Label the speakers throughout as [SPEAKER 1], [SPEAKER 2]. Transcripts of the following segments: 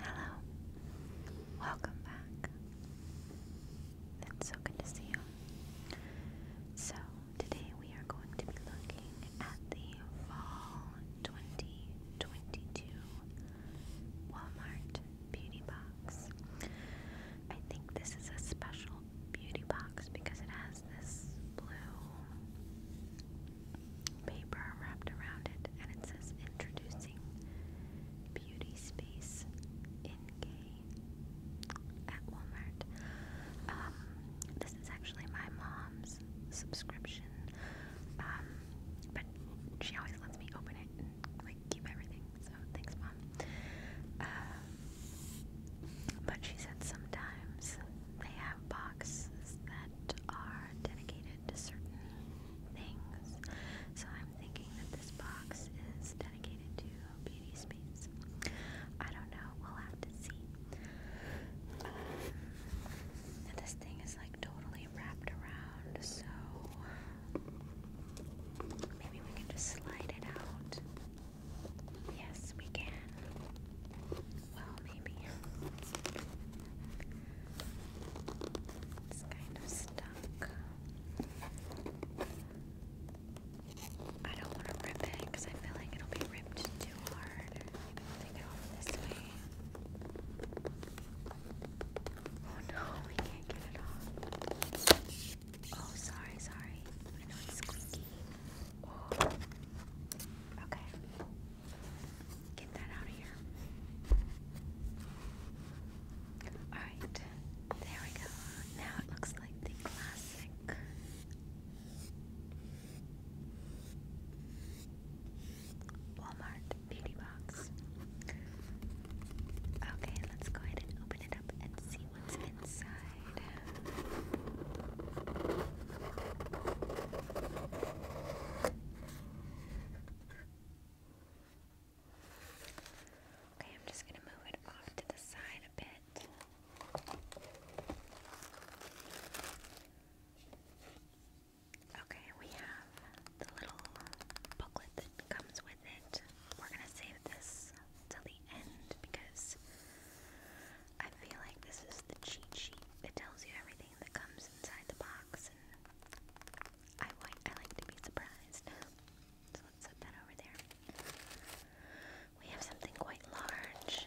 [SPEAKER 1] Hello, welcome back. It's so good to see you. So, today we are going to be looking at the Fall 2022 Walmart Beauty Box. I think this is a special beauty box because it has this blue paper wrapped around it and it says introducing beauty space in gay at Walmart. Um, this is actually my mom's subscription. Um, but she always lets me open it and like keep everything. So thanks, mom. Uh, but she said sometimes they have boxes that are dedicated to certain things. So I'm thinking that this box is dedicated to beauty space. I don't know, we'll have to see. Um, this thing is like totally wrapped around, so Maybe we can just slide it out. Yes, we can. Well, maybe. It's kind of stuck. I don't want to rip it because I feel like it'll be ripped too hard. Maybe we'll take this way. Oh no, we can't get it off. Oh, sorry, sorry. I know it's squeaky. Oh. Okay. Get that out of here. Alright, there we go. Now it looks like the classic. Walmart beauty box. Okay, let's go ahead and open it up and see what's inside. Okay, I'm just going to move it off to the side a bit. Okay, we have the little booklet comes with it. We're gonna save this till the end because I feel like this is the cheat sheet. It tells you everything that comes inside the box, I like to be surprised. So let's set that over there. We have something quite large.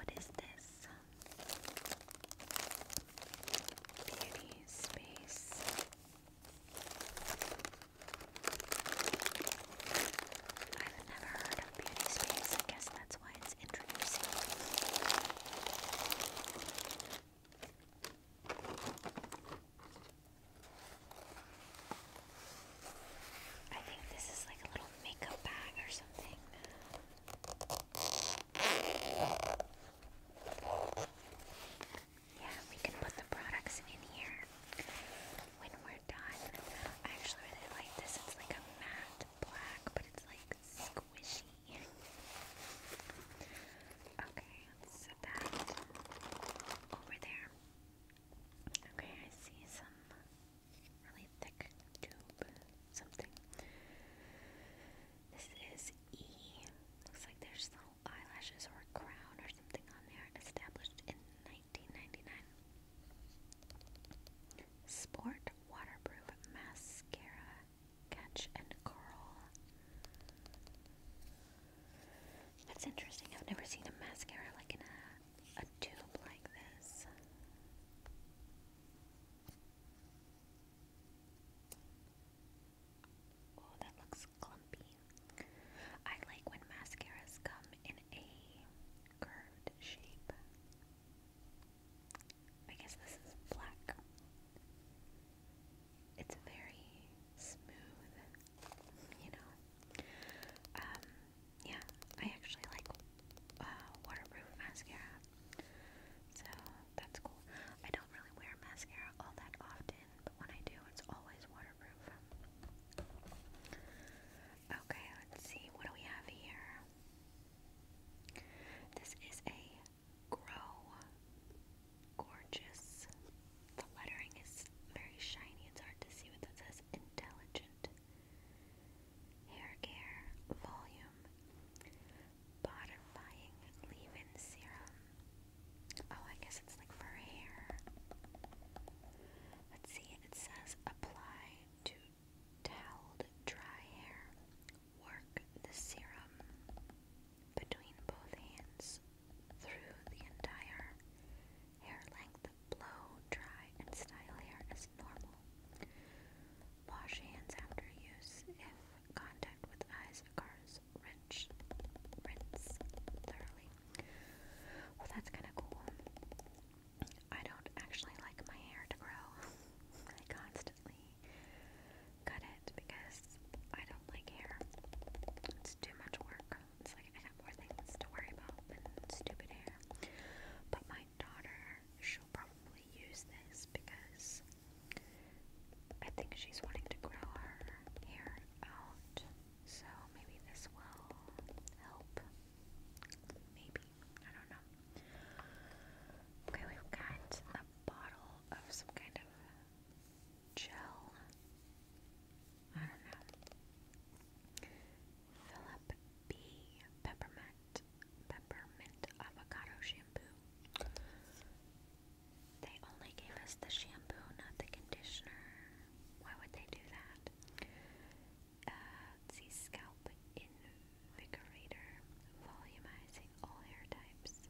[SPEAKER 1] What is this? Beauty space. I've never heard of beauty space. I guess that's why it's introducing. I think this is like a little makeup bag or something. Yeah, we can put the products in here when we're done. I actually really like this. It's like a matte black, but it's like squishy. Okay, let's set that over there. Okay, I see some really thick tube something. This is E. Looks like there's the eyelashes or crown or something on there, established in 1999. Sport Waterproof Mascara Catch and Curl. That's interesting. I've never seen a mascara like in a, a tube like this. Oh, that looks clumpy. I like when mascaras come in a curved shape. I guess this is black. It's very smooth, you know. Um, yeah, I actually like uh, waterproof mascara, so that's cool. I don't really wear mascara all that often but when I do, it's always waterproof. Okay, let's see. What do we have here? This is a Grow Gorgeous. The lettering is very shiny. It's hard to see what that says. Intelligent hair care volume. Bodifying leave-in serum. Oh, I guess it's like for hair. Let's see, it says apply to toweled dry hair. Work the serum between both hands through the entire hair length. Blow dry and style hair as normal. Wash hands after use if contact with eyes occurs rinse, rinse, thoroughly. Well, that's kind of cool. I don't actually like my hair to grow. I constantly cut it because I don't like hair. It's too much work. It's like I have more things to worry about than stupid hair. But my daughter, she'll probably use this because I think she's wanting to grow her hair out, so maybe this will help. Maybe. I don't know. Okay, we've got a bottle of some kind of gel. I don't know. Philip B. Peppermint. Peppermint avocado shampoo. They only gave us the shampoo, not the conditioner. Why would they do that? Uh, Scalp Invigorator Volumizing All Hair Types.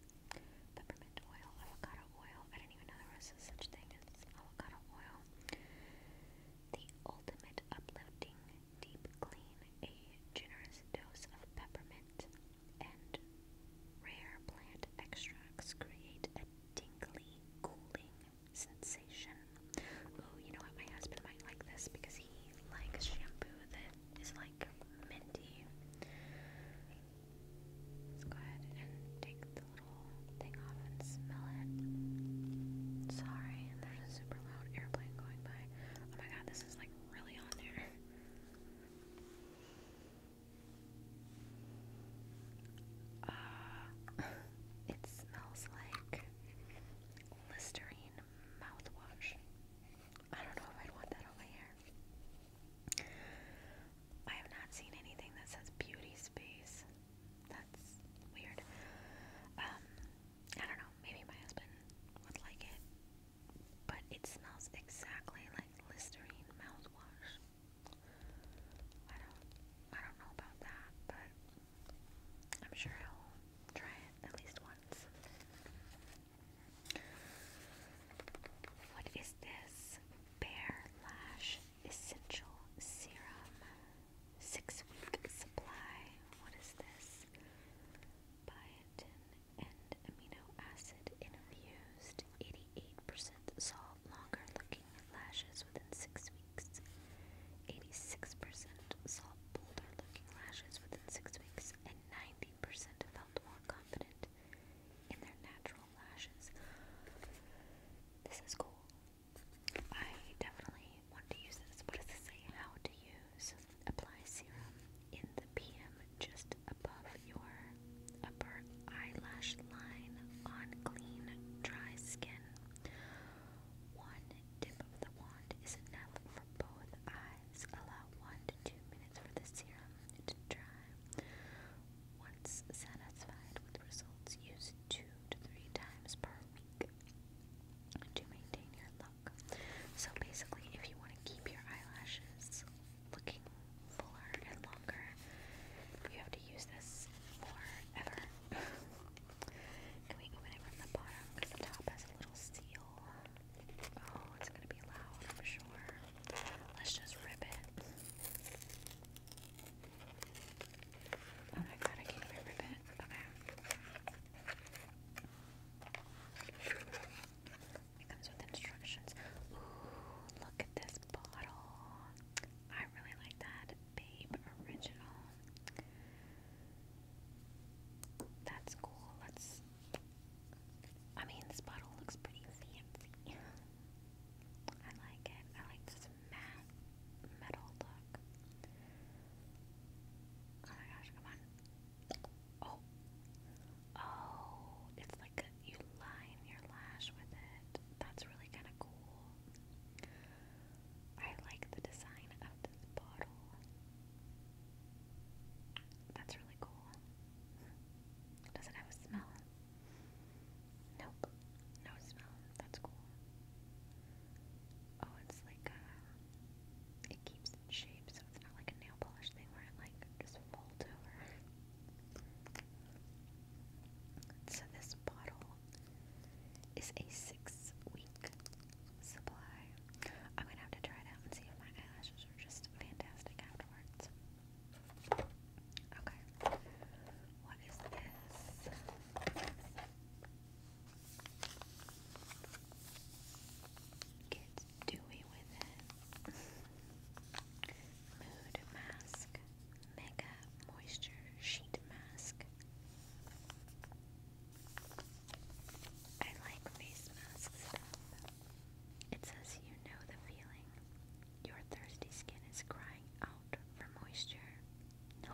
[SPEAKER 1] Peppermint oil, avocado oil. I didn't even know there was such thing as avocado oil. The Ultimate Uplifting Deep Clean, a generous dose of peppermint and rare plant extracts create a tingly, cooling sensation. Ooh, you know what? My husband might like this because he likes shampoo that is like minty. Let's go ahead and take the little thing off and smell it. Sorry, and there's a super loud airplane going by. Oh my god, this is like really on there. Ah, it smells like Listerine mouthwash. I don't know if I'd want that on my hair. I have not seen anything that says beauty space. That's weird. Um, I don't know. Maybe my husband would like it but it smells exactly like Listerine mouthwash. I don't, I don't know about that, but I'm sure I'll try it at least once. What is this? Bare Lash Essential Serum. Six week supply. What is this? Biotin and amino acid infused 88% saw longer looking lashes within 6 weeks 86% saw bolder looking lashes within 6 weeks and 90% felt more confident in their natural lashes this is cool I definitely want to use this what does it say how to use apply serum in the PM just above your upper eyelash line on clean, dry skin. One dip of the wand is enough for both eyes. Allow one to two minutes for the serum to dry. Once satisfied with results, use two to three times per week to maintain your look. So basically, if you want to keep your eyelashes looking fuller and longer. You have to use this forever. Can we open it from the bottom? Because the top has a little seal. Oh, it's gonna be loud, i sure. Let's just rip it. Oh my god, I can't rip it. Okay. It comes with instructions. Ooh, look at this bottle. I really like that. Babe Original. That's cool. let I mean, this bottle looks pretty fancy. I like it. I like this matte metal look. Oh my gosh, come on. Oh. Oh, it's like you line your lash with it. That's really kind of cool. I like the design of this bottle. That's really cool. Does it have a smell? Nope. No smell. That's cool. Oh, it's like uh, It keeps in shape shape, so it's not like a nail polish thing where it like just folds over. So this bottle is a six-week supply. I'm gonna have to try it out and see if my eyelashes are just fantastic afterwards. Okay. What is this? Kids dewy with it. Mood Mask Mega Moisture Sheet Mask. I like face mask It says you know the feeling. Your thirsty skin is crying out for moisture. No,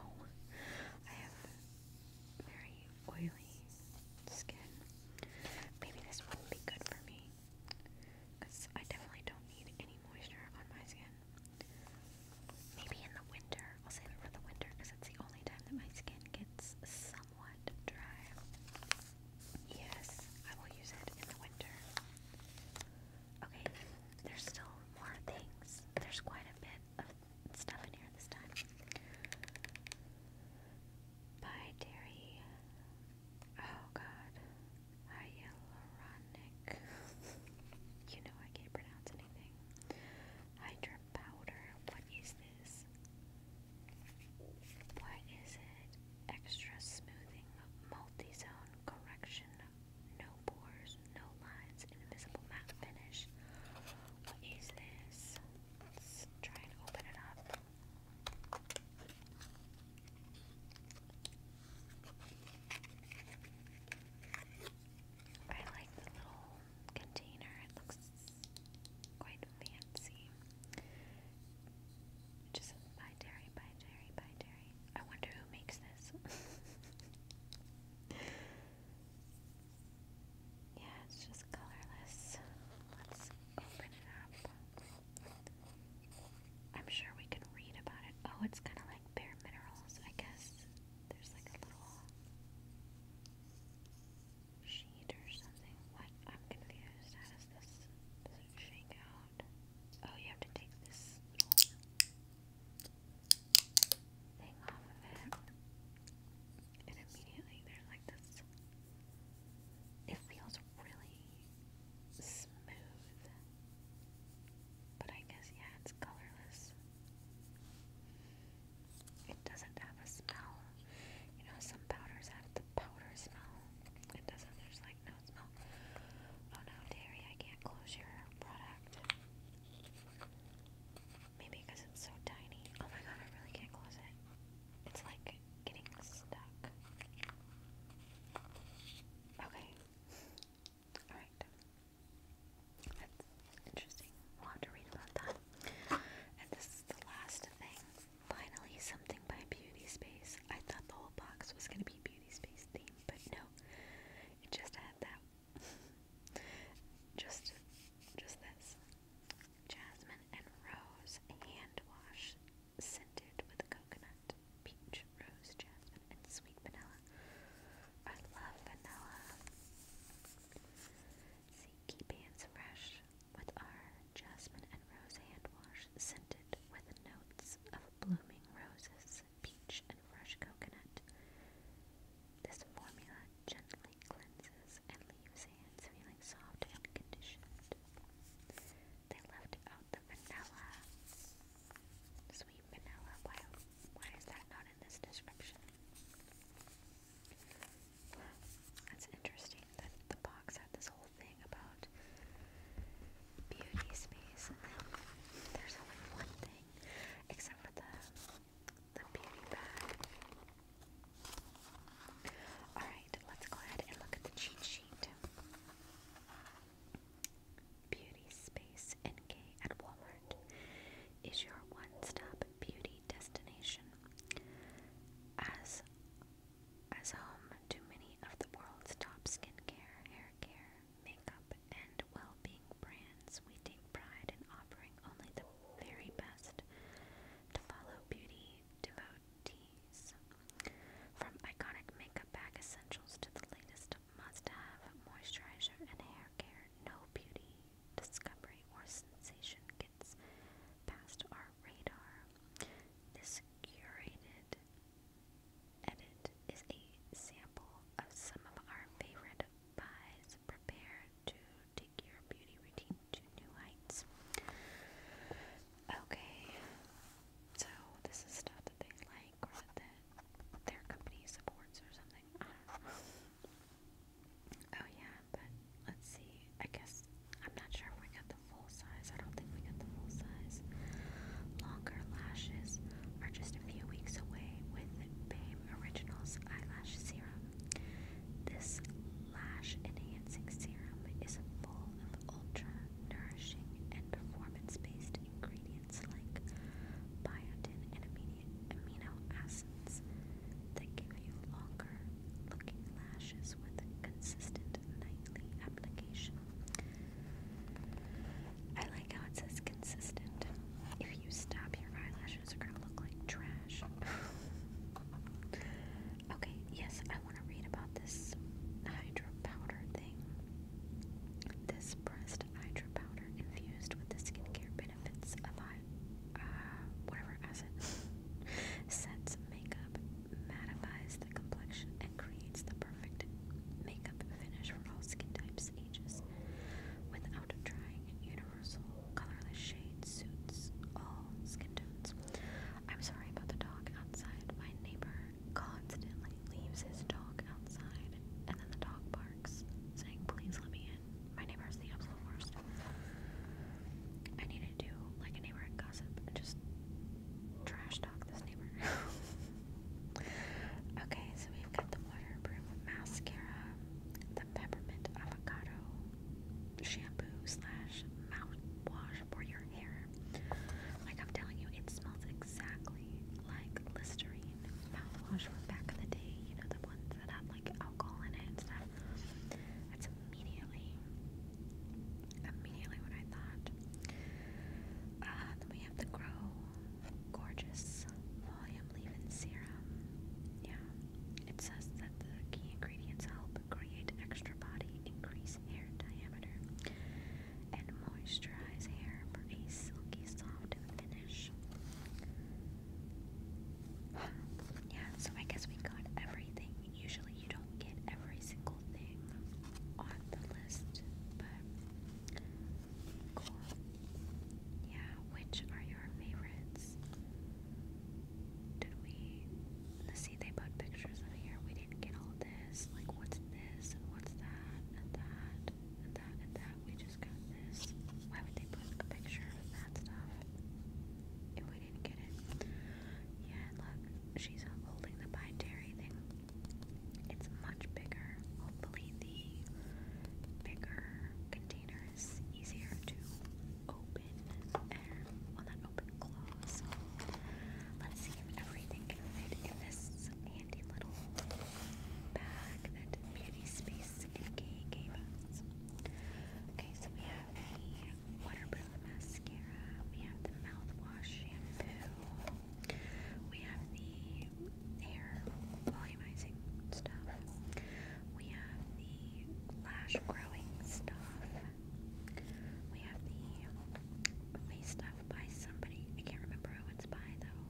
[SPEAKER 1] I have very oily skin. Maybe this wouldn't be good for me because I definitely don't need any moisture on my skin. Maybe in the winter, I'll save it for the winter because it's the only time that my skin gets somewhat dry. Yes, I will use it in the winter. Okay, there's still more things. There's quite a bit of stuff in here this time. Bye, Terry. Oh god. Hyaluronic. you know I can't pronounce anything. Hydra powder. What is this? What is it? Extra smoothing. Multi-zone correction. No pores, no lines, invisible matte finish. What is this? try and open it up. I like the little container, it looks quite fancy. just says dairy, buy dairy, buy dairy. I wonder who makes this. yeah, it's just colorless. Let's open it up. I'm sure we can read about it. Oh, it's kind of like bare minerals, I guess. There's like a little sheet or something. What? I'm confused. How does this shake out? Oh, you have to take this thing off of it. And immediately there's like this it feels really smooth, but I guess, yeah, it's colorless. It doesn't have a smell. You know, some powders have the powder smell. It doesn't, there's like no smell. Oh no, Terry, I can't close your product. Maybe because it's so tiny. Oh my god, I really can't close it. It's like getting stuck. Okay. Alright. interesting. We'll have to read about that. And this is the last thing. Finally, something by Beauty Space. I thought the whole box was going to be Beauty Space theme, but no. It just had that. just, just this jasmine and rose hand wash scented with coconut, peach, rose, jasmine, and sweet vanilla. I love vanilla. See, keep hands fresh with our jasmine and rose hand wash scented with notes of blooming roses, peach, and fresh coconut. This formula gently cleanses and leaves sands feeling soft and conditioned. They left out the vanilla. Sweet vanilla. Why, why is that not in this description? That's interesting that the box had this whole thing about beauty space there's only one thing except for the the beauty bag. Alright, let's go ahead and look at the cheat sheet. Beauty Space NK at Walmart is your one stop beauty destination. As as home to many of the world's top skincare, hair makeup, and well being brands, we take pride in offering only the very best. To follow beauty devote teas. From iconic makeup bag essentials to the latest must-have moisturizer and hair care, no beauty discovery or sensation gets past our radar. This curated edit is a sample of some of our favorite buys prepared to take your beauty routine to new heights. Okay, so this is stuff that they like or that their company supports or something. Oh yeah, but let's see. I guess I'm not sure if we got the full size. I don't think we got the full size. Longer lashes are just a few weeks away with BAME Originals Eyelash Serum. This lash enhancing serum is full of ultra nourishing and performance based ingredients like biotin and amino acids that give you longer looking lashes with consistent nightly application. I like how it says consistent. If you stop, your eyelashes are gonna look like trash. okay, Yes, I want to read about this hydro powder thing. This breast hydro powder infused with the skincare benefits of uh, whatever acid sets makeup, mattifies the complexion, and creates the perfect makeup finish for all skin types, ages, without drying. Universal universal, colorless shade suits all skin tones. I'm sorry about the dog outside. My neighbor constantly leaves his dog outside, and then the dog barks, saying, Please let me in. My neighbor is the absolute worst. I need to do like a neighborhood gossip just trash talk this neighbor. okay, so we've got the waterproof mascara, the peppermint avocado shampoo slash mouthwash for your hair. Like I'm telling you, it smells exactly like Listerine mouthwash from back in the day. You know the ones that had like alcohol in it and stuff. That's immediately, immediately what I thought. Uh, then we have the Grow Gorgeous Volume leave Serum. Yeah, it says that the key ingredients help create extra body, increase hair diameter, and moisturize hair for a silky, soft finish. yeah, so I guess we got everything. Usually, you don't get every single thing on the list, but cool. Yeah, which are your favorites? Did we let's see they put pictures in here. We didn't get all this. Like what's this what's that that that that. We just got this. Why would they put a picture of that stuff? If we didn't get it. Yeah, look, she's holding the binary thing. It's much bigger. Hopefully the bigger container is easier to open air, well not open, close. Let's see if everything can fit in this handy little bag that Beauty Space NK gave us. Okay, so we have the waterproof mascara, we have the mouthwash shampoo, we have the hair volumizing stuff. We have the lash growing stuff. We have the face stuff by somebody. I can't remember who it's by though.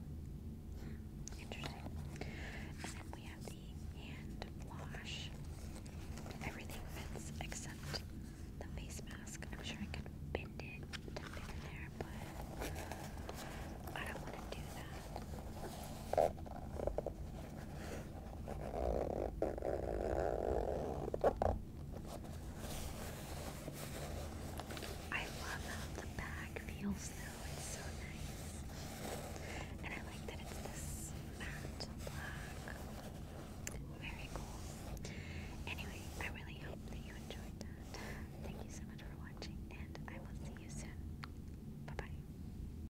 [SPEAKER 1] Hmm, interesting. And then we have the hand wash. Everything fits except the face mask. I'm sure I could bend it to fit in there, but I don't want to do that. I love how the bag feels though, so nice. And I like that it's this matte black. Very cool. Anyway, I really hope that you enjoyed that. Thank you so much for watching, and I will see you soon. Bye bye.